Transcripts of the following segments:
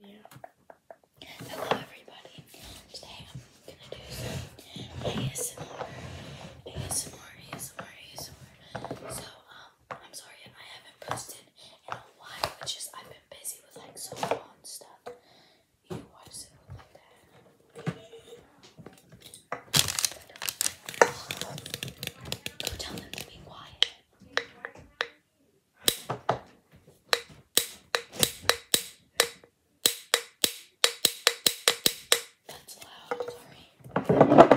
Yeah. Hello everybody. Today I'm gonna do some ASMR. ASMR, ASMR, ASMR. So um I'm sorry I haven't posted in a while. It's just I've been busy with like so on stuff. Go tell them to be quiet. That's loud, I'm sorry.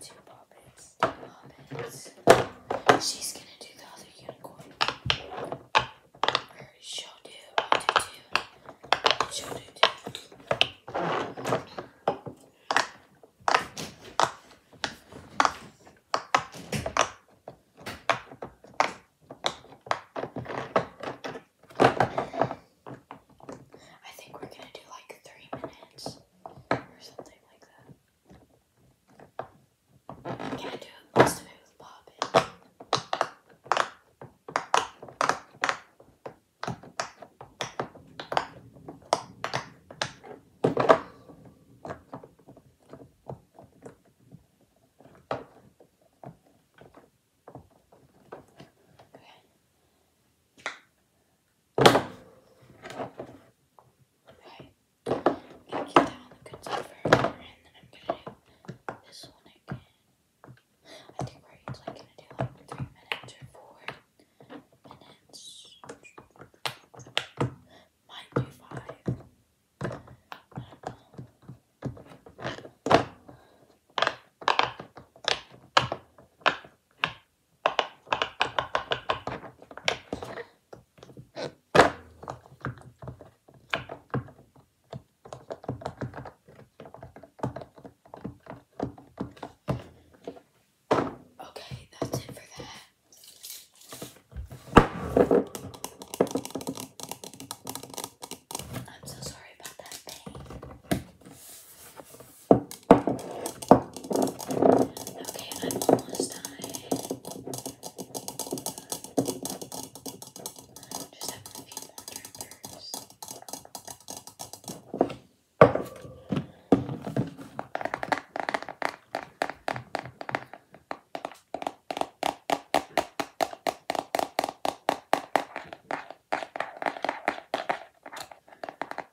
Two puppets. Two puppets. She's gonna do the other unicorn. Or she'll do. I'll do two. I think we're gonna do like three minutes or something like that. Can not do most of it with popping? Okay. Okay. I'm going the good side for her, and then I'm gonna do this one again. I think we're usually gonna do like three minutes Might do five. Okay, that's it for that. I'm so sorry about that pain. Okay, I'm almost done. Just have a few more triggers. Okay,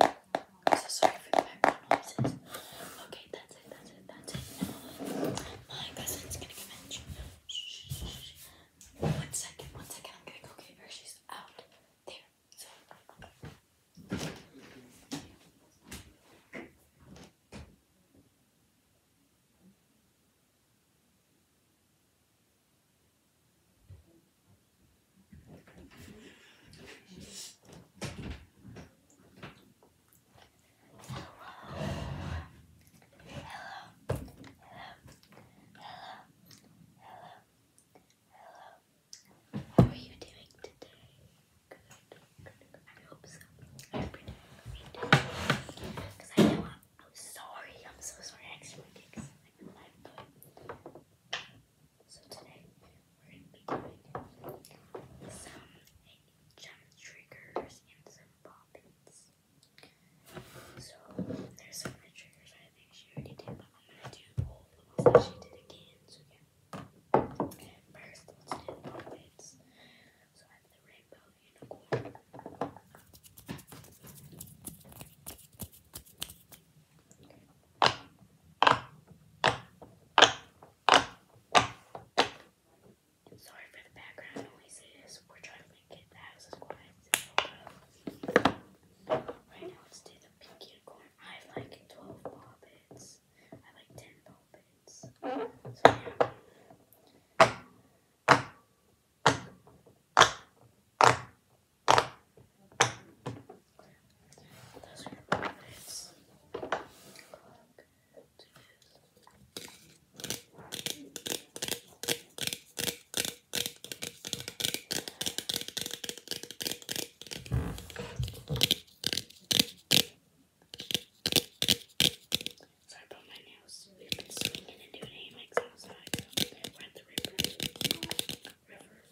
I'm so sorry for the background noises. Okay, that's it, that's it, that's it. my cousin's gonna come in. One second, one second. I'm gonna go get her. She's out there. So. How are you doing today? Good. Good. I hope so. I Because I know I'm, sorry. I'm so sorry. I so today we're gonna be doing some jump triggers and some bobbins. So there's some triggers I think she already did, but I'm gonna do all the ones that she did again. So yeah. First let's do the bobbins. So I have the rainbow unicorn. Sorry for the background noises. We're trying to make it the house as quiet Right now, let's do the pink unicorn. I like 12 bobbits. I like 10 bobbits. So, yeah. Sorry about my nails. We've been swimming and doing hammocks outside. We're at River.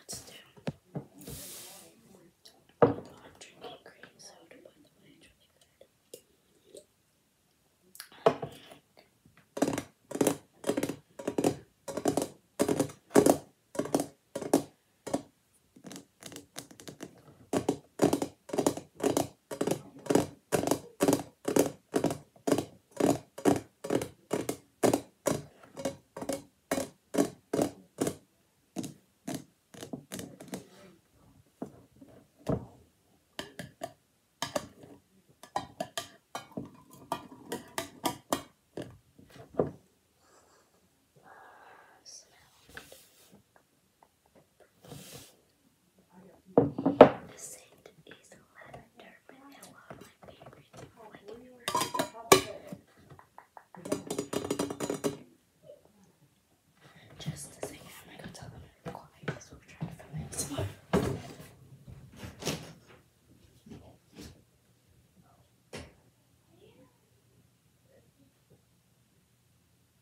Let's do. I'm drinking cream soda, by the way, it's really good. Smell. Scent is lavender, vanilla, my favorite. Just a second, I'm gonna tell them quiet because we're trying to film it tomorrow. Okay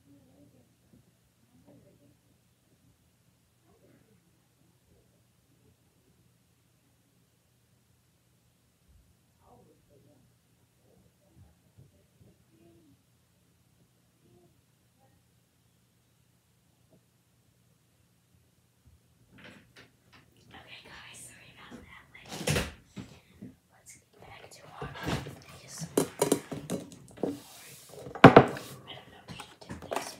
guys, sorry about that. Let's back to our place. Or, don't know if she did this,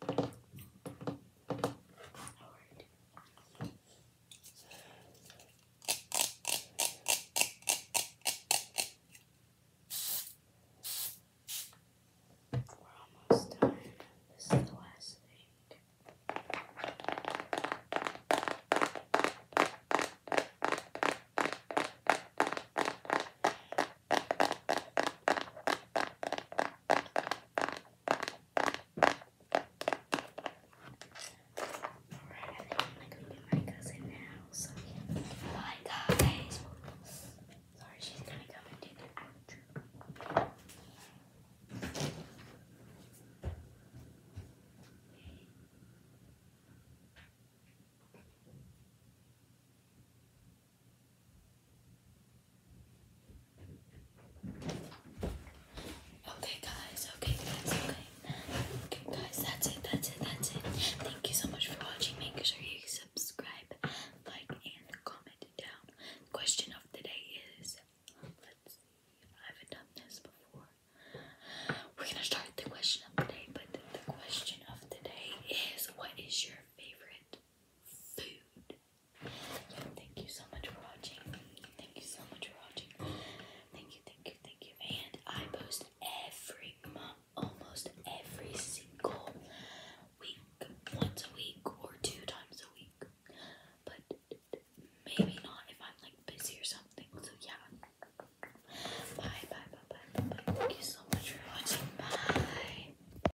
we're almost done. This is the last thing. Alright, I think I'm gonna get my cousin now. So, Bye, guys. Sorry, she's gonna come and do the outro. Okay guys, okay guys, okay. guys, that's it, that's it, that's it. Thank you so much for watching. Make sure you subscribe, like, and comment down. Question of the day is let's see, I have done this before. We're gonna start the question of the day, but the question of the day is what is your favorite food? Thank you so much for watching. Thank you so much for watching. Thank you, thank you, thank you. And I post every almost every single week, once a week or two times a week. But maybe not if I'm like busy or something. So yeah. bye, bye, bye. bye. Thank you so much for watching. Bye.